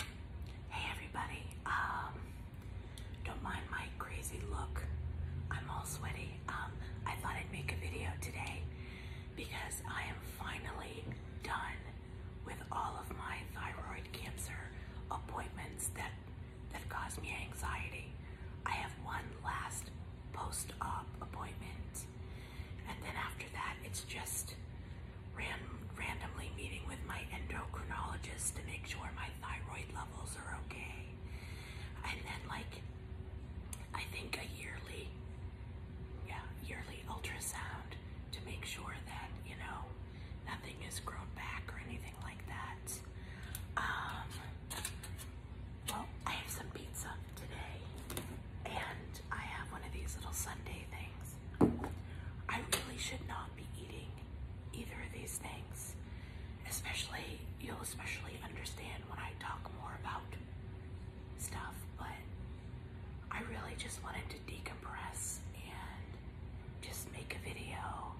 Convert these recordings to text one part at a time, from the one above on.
Hey everybody, um, don't mind my crazy look. I'm all sweaty. Um, I thought I'd make a video today because I am finally done with all of my thyroid cancer appointments that that caused me anxiety. I have one last post-op appointment, and then after that, it's just ran, randomly meeting with my endocrinologist to make sure my thyroid levels are okay. And then like, I think a yearly, yeah, yearly ultrasound to make sure that, you know, nothing is grown back or anything like that. Um, well, I have some pizza today and I have one of these little Sunday things. I really should not be eating either of these things. Especially, you'll especially understand when I talk more about stuff, but I really just wanted to decompress and just make a video,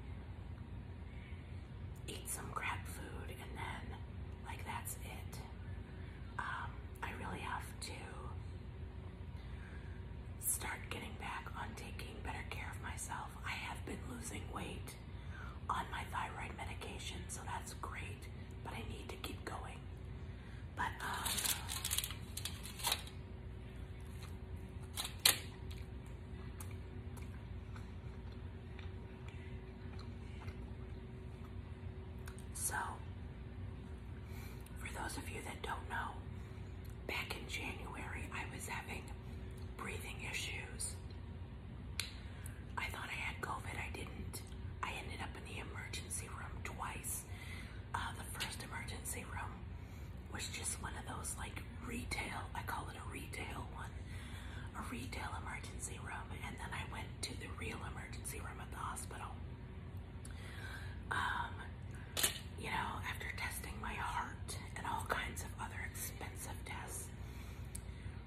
eat some crab food, and then, like, that's it. Um, I really have to start getting back on taking better care of myself. I have been losing weight on my thyroid medication, so that's great, but I need to keep going. But, uh, so for those of you that don't know, back in January I was having breathing issues. I thought I had COVID, I didn't. I ended up in the emergency room twice. Uh, the first emergency room was just one of those like retail, I call it a retail one, a retail emergency room. And then I went to the real emergency room at the hospital. Um, you know, after testing my heart and all kinds of other expensive tests,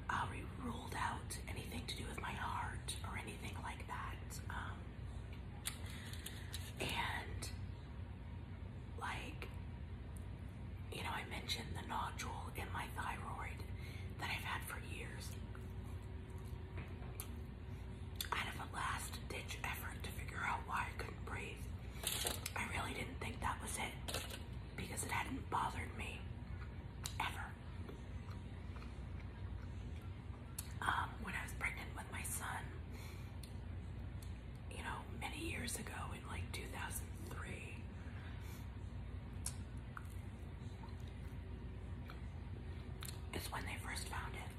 uh, ruled out anything to do with my heart or anything like that. Um, and like, you know, I mentioned the nodule in my thyroid that I've had for years out of a last ditch effort to figure out why I couldn't breathe. I really didn't think that was it because it hadn't bothered me ever. Um, when I was pregnant with my son, you know, many years ago in like 2003, is when they first found it.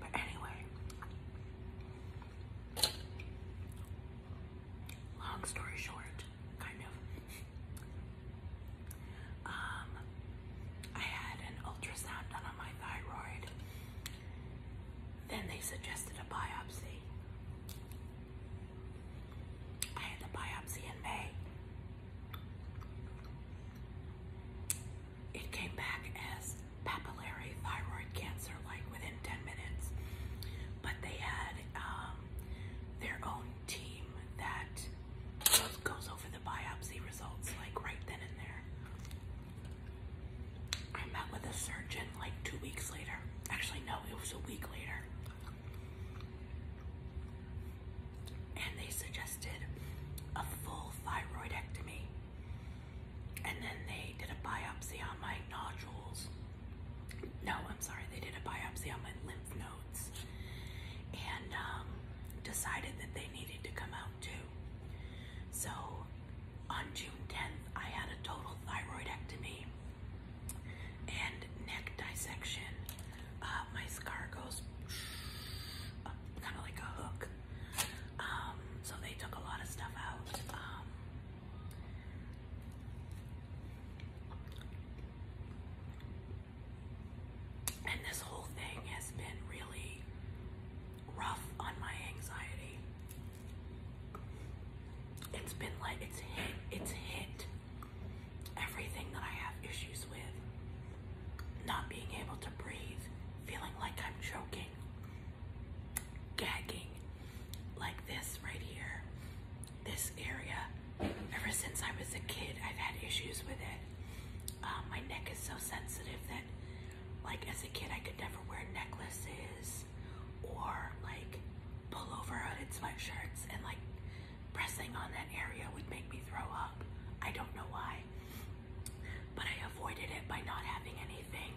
But anyway, long story short, kind of, um, I had an ultrasound done on my thyroid. Then they suggested a biopsy. I had the biopsy in May it came back as papillary thyroid cancer, like within 10 minutes. But they had um, their own team that goes over the biopsy results, like right then and there. I met with a surgeon like two weeks later. Actually, no, it was a week later. And they suggested a full thyroidectomy and then they did a biopsy on my nodules. No, I'm sorry, they did a biopsy on my lymph nodes and um, decided that they needed to come out too. So on June 10th, I had a total thyroidectomy and neck dissection. Uh, my scar goes kind of like a hook um, so they took a lot of stuff out. Um, and this whole thing has been really rough on my anxiety. It's been like, it's hit, it's hit everything that I have issues with. Not being able to breathe, feeling like I'm choking, gagging, like this right here, this area. Ever since I was a kid, I've had issues with it. Um, my neck is so sensitive that, like, as a kid, I could never wear necklaces or, like, pull pullover hooded sweatshirts, and, like, pressing on that area would make me throw up. I don't know why but I avoided it by not having anything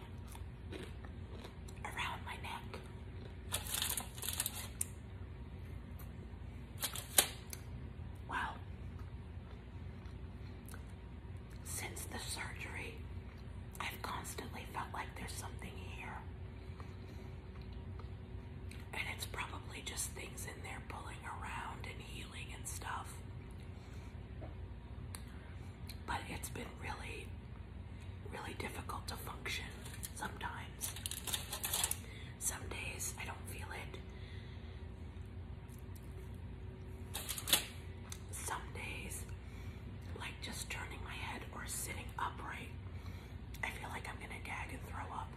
around my neck. Wow. Since the surgery, I've constantly felt like there's something here. And it's probably just things in there pulling around and healing and stuff. But it's been really, really difficult to function sometimes. Some days I don't feel it. Some days, like just turning my head or sitting upright, I feel like I'm gonna gag and throw up.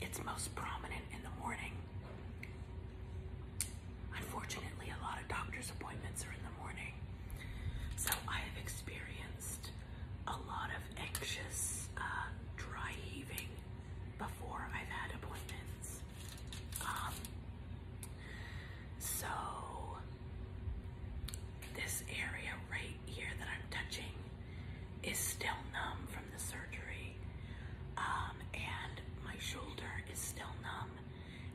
It's most prominent in the morning. Unfortunately, a lot of doctor's appointments are in the morning. So I have experienced a lot of anxious uh, dry heaving before I've had appointments. Um, so this area right here that I'm touching is still numb from the surgery, um, and my shoulder is still numb,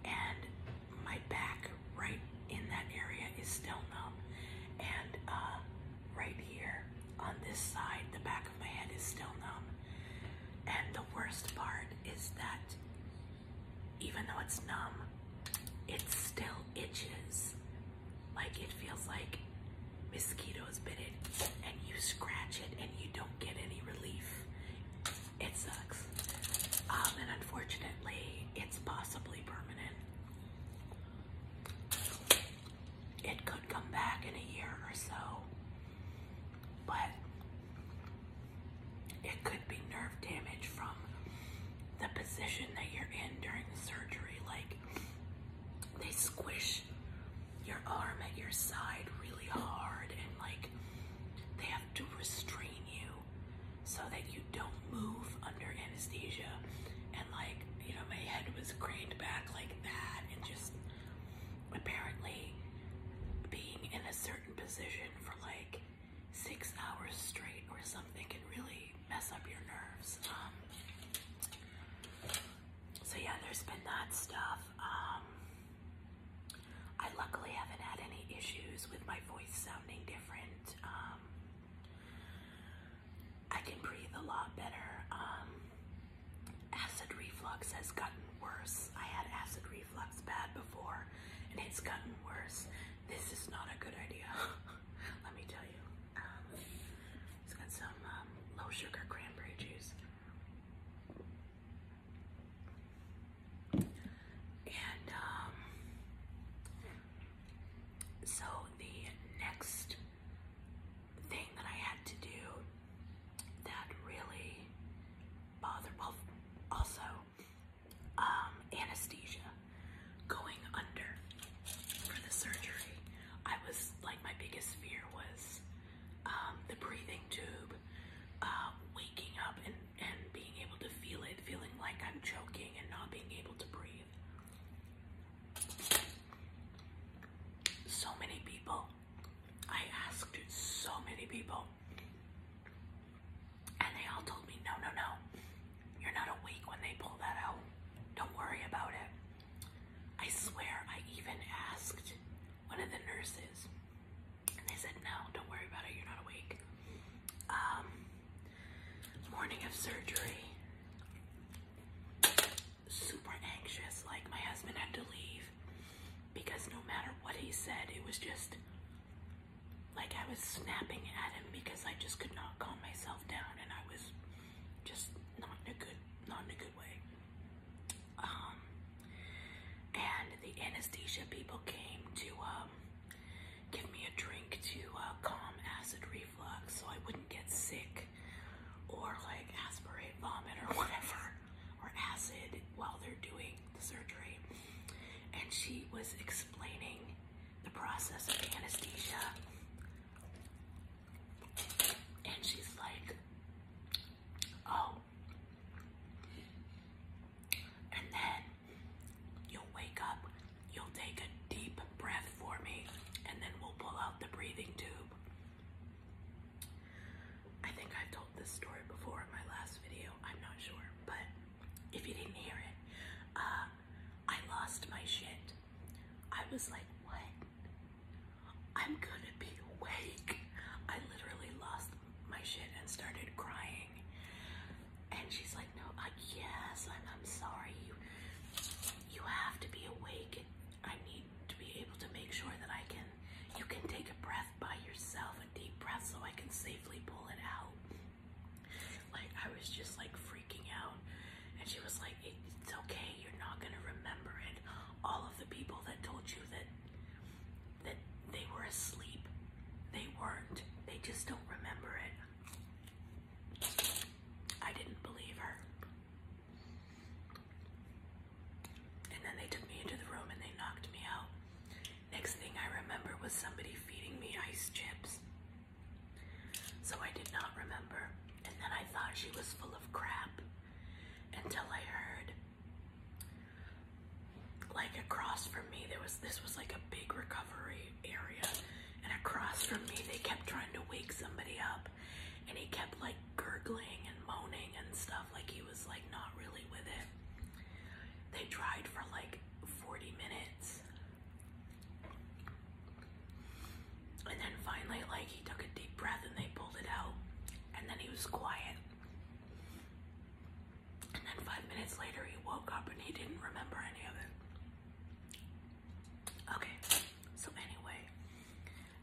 and my back right in that area is still numb, and uh, right here on this side, the back of my head is still numb. And the worst part is that even though it's numb, it still itches. Like it feels like mosquitoes bit it and you scratch it and you don't get any relief. It sucks. Um, and unfortunately, it's possibly permanent. It could come back in a year or so, but it could be nerve damage from the position that you're in during the surgery. Like, they squish your arm at your side really hard and like they have to restrain you so that you don't move under anesthesia and like you know my head was craned back like that and just apparently being in a certain position for like six hours straight or something can really mess up your nerves um, so yeah, there's been that stuff. Um, I luckily haven't had any issues with my voice sounding different. Um, I can breathe a lot better. Um, acid reflux has gotten worse. I had acid reflux bad before, and it's gotten worse. This is not a good idea. Let me tell you. It's got some um, low sugar cranberry juice. And um, so the next thing that I had to do that really bothered, well, also um, anesthesia, going under for the surgery, I was like, my biggest fear was um, the breathing tube, uh, waking up and, and being able to feel it, feeling like I'm choking and not being able to breathe. So many people, I asked so many people, and they all told me, no, no, no, you're not awake when they pull that out. Don't worry about it. I swear I even asked one of the nurses, and they said, No, don't worry about it, you're not awake. Um, morning of surgery, super anxious. Like, my husband had to leave because no matter what he said, it was just like I was snapping at him because I just could not calm myself down, and I was just not in a good, not in a good way. Um, and the anesthesia people came to um, give me a drink to uh, calm acid reflux so I wouldn't get sick or like aspirate vomit or whatever or acid while they're doing the surgery. And she was explaining the process of anesthesia and she's like, oh. And then you'll wake up, you'll take a deep breath for me, and then we'll pull out the breathing tube. I think I've told this story before in my last video, I'm not sure, but if you didn't hear it, uh, I lost my shit. I was like, what? I'm gonna be awake. I literally lost my shit and started crying. And she's like, no, I, yes, I'm, I'm sorry. You, you have to be awake. I need to be able to make sure that I can, you can take a breath by yourself, a deep breath so I can safely pull it out. Like I was just like freaking out. And she was like, it's okay. You're not gonna remember it. All of the people that told you that that they were asleep, they weren't. They just don't remember it. I didn't believe her. And then they took me into the room and they knocked me out. Next thing I remember was somebody feeding me ice chips. So I did not remember. And then I thought she was full of crap until I heard like across from me there was this was like a big recovery area and across from me they kept trying to wake somebody up and he kept like gurgling and moaning and stuff like he was like not really with it. They tried for like 40 minutes and then finally, like, he took a deep breath and they pulled it out. And then he was quiet. And then five minutes later, he woke up and he didn't remember any of it. Okay, so anyway,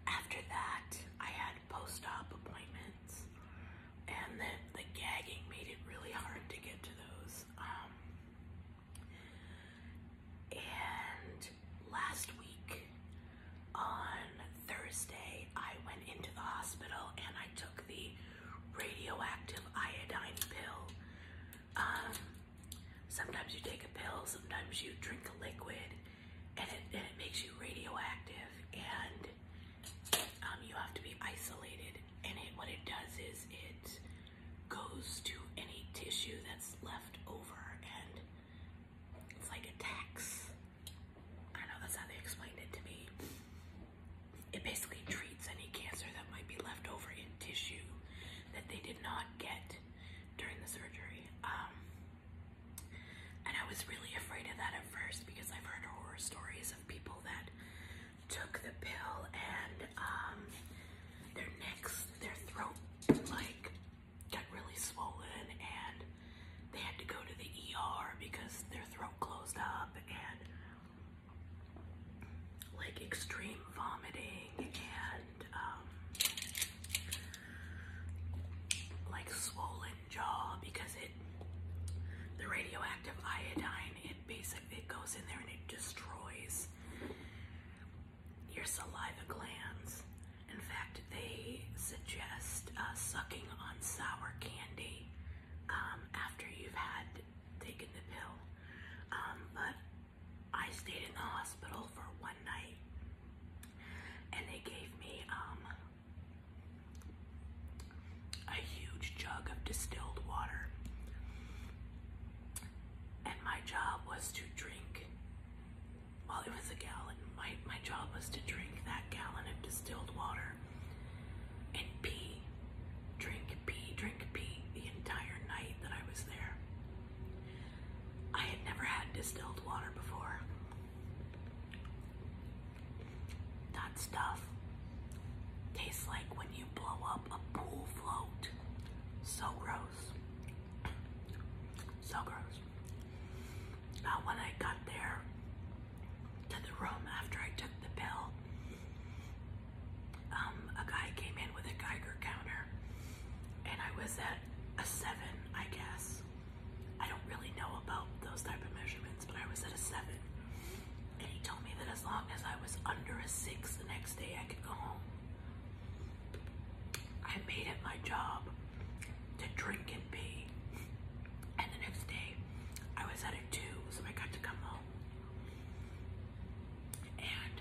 after that, I had post op appointments. And the, the gagging made it really hard to get to those. Um, and last week on Thursday, I went into the hospital and I took the radioactive iodine pill. Um, sometimes you take a pill, sometimes you drink a liquid, and it, makes you radioactive. And um, you have to be isolated. And what it does is it goes to any tissue that's left over and it's like a tax. I know that's how they explained it to me. It basically treats any cancer that might be left over in tissue that they did not get during the surgery. Um, and I was really afraid of that at first because I've heard horror stories of people that took the pill and um, their necks, their throat, like got really swollen and they had to go to the ER because their throat closed up and like extreme vomiting and um, like swollen jaw because it the radioactive iodine it basically it goes in there and it destroys your saliva glands. In fact, they suggest uh, sucking on sour candy um, after you've had taken the pill. Um, but I stayed in the hospital for one night, and they gave me um, a huge jug of distilled water, and my job was to drink while it was a gallon. My, my job was to drink that gallon of distilled water and pee, drink, pee, drink, pee the entire night that I was there. I had never had distilled water before. That stuff tastes like when you blow up a pool float. So gross. So gross. Uh, when I got there to the room after I took the pill, um, a guy came in with a Geiger counter, and I was at a seven, I guess. I don't really know about those type of measurements, but I was at a seven. And he told me that as long as I was under a six the next day, I could go home. I made it my job to drink and pee. And the next day, I was at a two, so I got to come home. And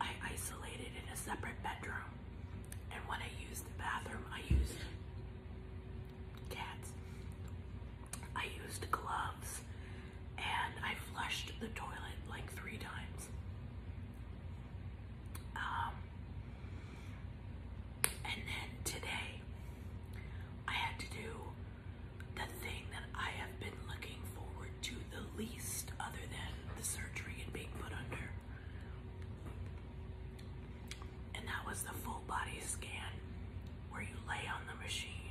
I isolated in a separate bedroom. And when I used the bathroom, I used cats. I used gloves and I flushed the toilet like three times. Um, and then today, I had to do the thing that I have been looking forward to the least, other than the surgery and being put under. And that was the full body scan where you lay on the machine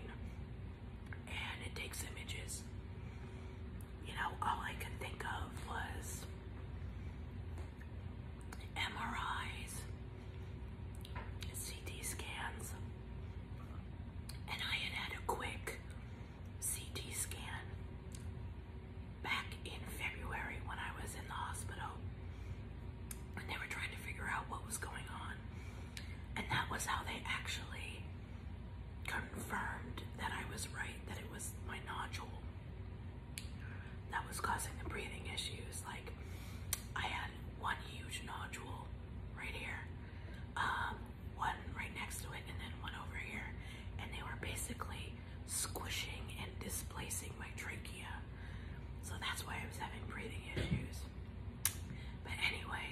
and it takes images you know, all I could think of was MRIs, CT scans, and I had had a quick CT scan back in February when I was in the hospital, and they were trying to figure out what was going on, and that was how they actually confirmed that I was right, that it was my nodule that was causing the breathing issues. Like, I had one huge nodule right here, um, one right next to it, and then one over here. And they were basically squishing and displacing my trachea. So that's why I was having breathing issues. But anyway,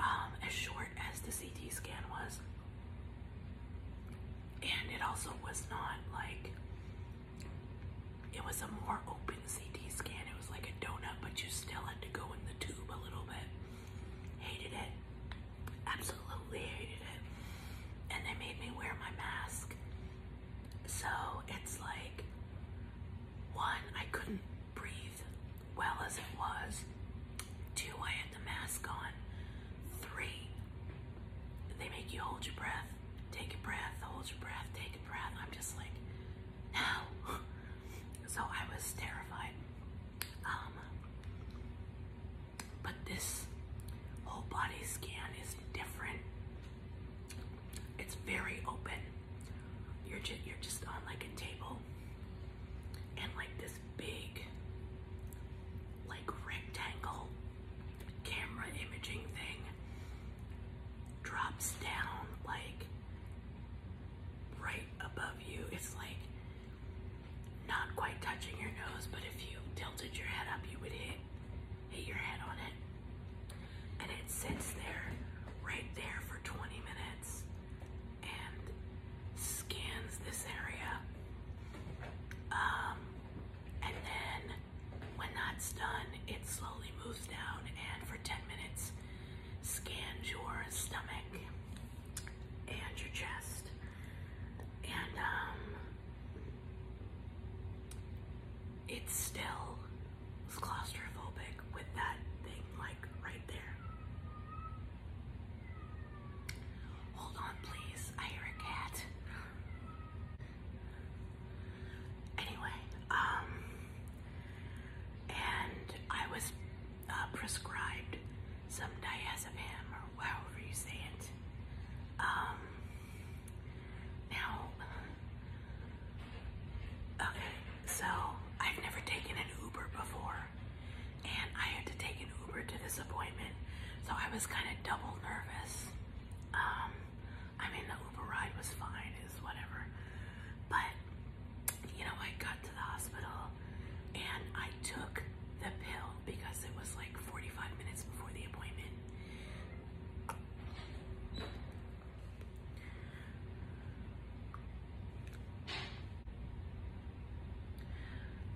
um, as short as the CT scan was, and it also was not like it was a more open CT scan. It was like a donut, but you still had to go in the tube a little bit. Hated it. Absolutely hated it. And they made me wear my mask. So it's like, one, I couldn't breathe well as it was. Two, I had the mask on. Three, they make you hold your breath. Take a breath, hold your breath, take a breath. I'm just like, no. so I was terrified. Um, but this whole body scan is different. It's very open. You're you're just on like a table and like this big like rectangle camera imaging thing drops down like right above you. It's like not quite touching your nose, but if you tilted your head up, you would hit hit your head on it. And it sits there right there for 20 minutes and scans this area. Um, and then when that's done, it slowly moves down and for 10 minutes scans your stomach and your chest. And um, still claustrophobic with that thing like right there. Hold on, please. I hear a cat. Anyway, um, and I was uh, prescribed some diazepam or however you say it. Um, now, okay, so I've never taken an Uber before and I had to take an Uber to this appointment. So I was kind of double nervous. Um, I mean, the Uber ride was fine, is whatever. But, you know, I got to the hospital and I took the pill because it was like 45 minutes before the appointment.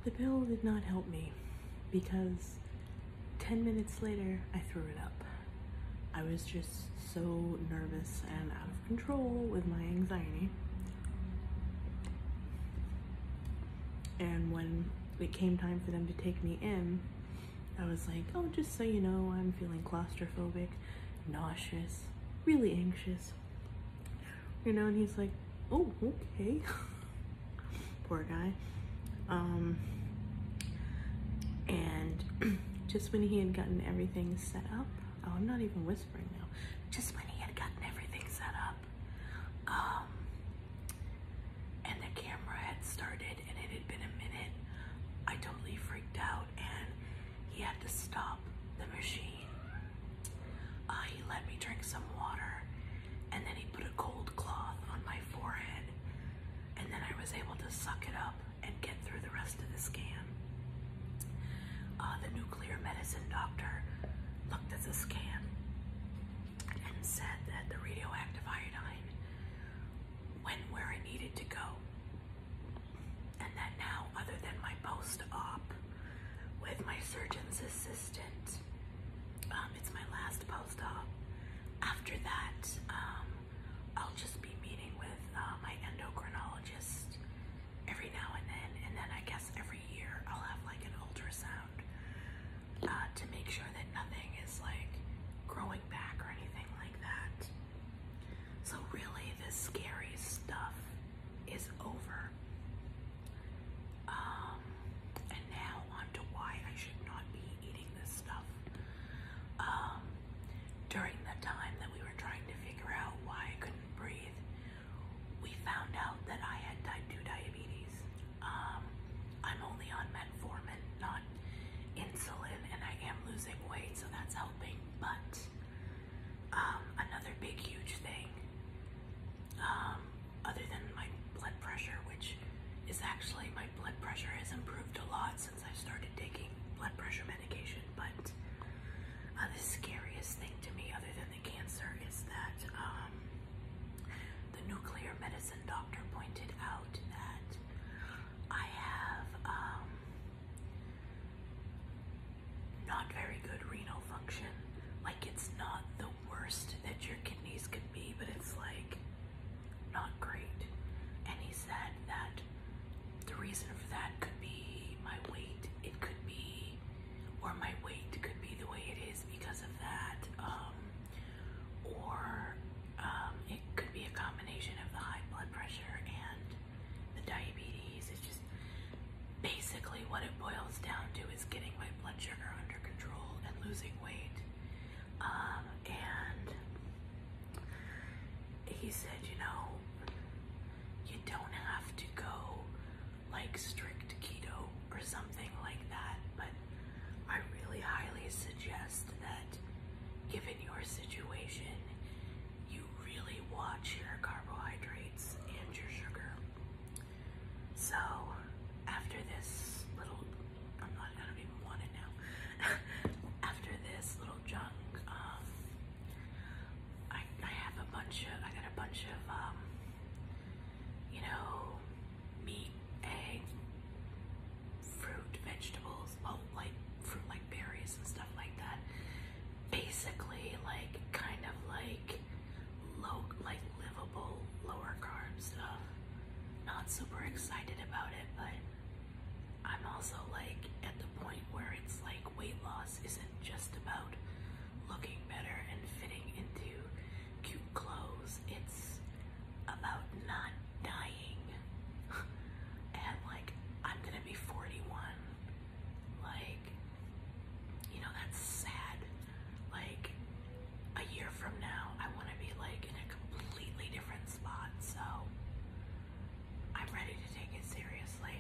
The pill did not help me because 10 minutes later I threw it up. I was just so nervous and out of control with my anxiety. And when it came time for them to take me in, I was like, oh, just so you know, I'm feeling claustrophobic, nauseous, really anxious, you know, and he's like, oh, okay. Poor guy. Um, and just when he had gotten everything set up, oh, I'm not even whispering now, just when he had gotten everything set up, um, and the camera had started and it had been a minute, I totally freaked out and he had to stop the machine. Uh, he let me drink some water, and then he put a cold cloth on my forehead, and then I was able to suck it up and get through the rest of the scan. Uh, the nuclear medicine doctor looked at the scan and said that the radioactive iodine went where I needed to go, and that now, other than my post op, with my surgeon's assistant. Um, it's my last post-op. After that, um, I'll just be meeting with uh, my endocrinologist every now and then, and then I guess every year I'll have like an ultrasound uh, to make sure that nothing is like growing back or anything like that. So really, this scary stuff is over. Um, and now on why I should not be eating this stuff. Um, during the time that we were trying to figure out why I couldn't breathe, we found out that I had type 2 diabetes. Um, I'm only on metformin, not insulin, and I am losing weight, so that's helping, but um, another big huge thing, um, other than my blood pressure, which is actually my blood pressure has improved a lot since I started taking blood pressure medication, but uh, the scariest thing to me, other than the cancer, is that um, the nuclear medicine doctor pointed out that I have not very good renal function. Like it's not the worst that your kidneys could be, but it's like not great. And he said that the reason for that could be my weight. It could be, or my weight could be the way it is because of that. Um, or um, it could be a combination of the high blood pressure and the diabetes. It's just basically what it boils down to is getting my blood sugar under control and losing weight. Um, and he said, you know, you don't have to go like strict keto or something like that, but I really highly suggest that given your situation, you really watch your carbohydrates and your sugar. So after this little, I'm not, I don't even now. after this little junk, um, I, I have a bunch of, I got a bunch of, um, you know, meat, egg, fruit, vegetables, well, like fruit like berries and stuff like that basically like kind of like low, like livable lower carb stuff. Not super excited about it, but I'm also like at the point where it's like weight loss isn't just about looking better and fitting into cute clothes. It's about not dying. and like I'm gonna be 41. Like you know, that's sad. Like, a year from now, I want to be like in a completely different spot. So, I'm ready to take it seriously.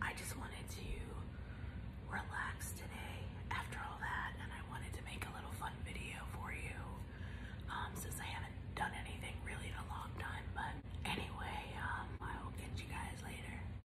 I just wanted to relax today after all that, and I wanted to make a little fun video for you um, since I haven't done anything really in a long time. But anyway, um, I will catch you guys later.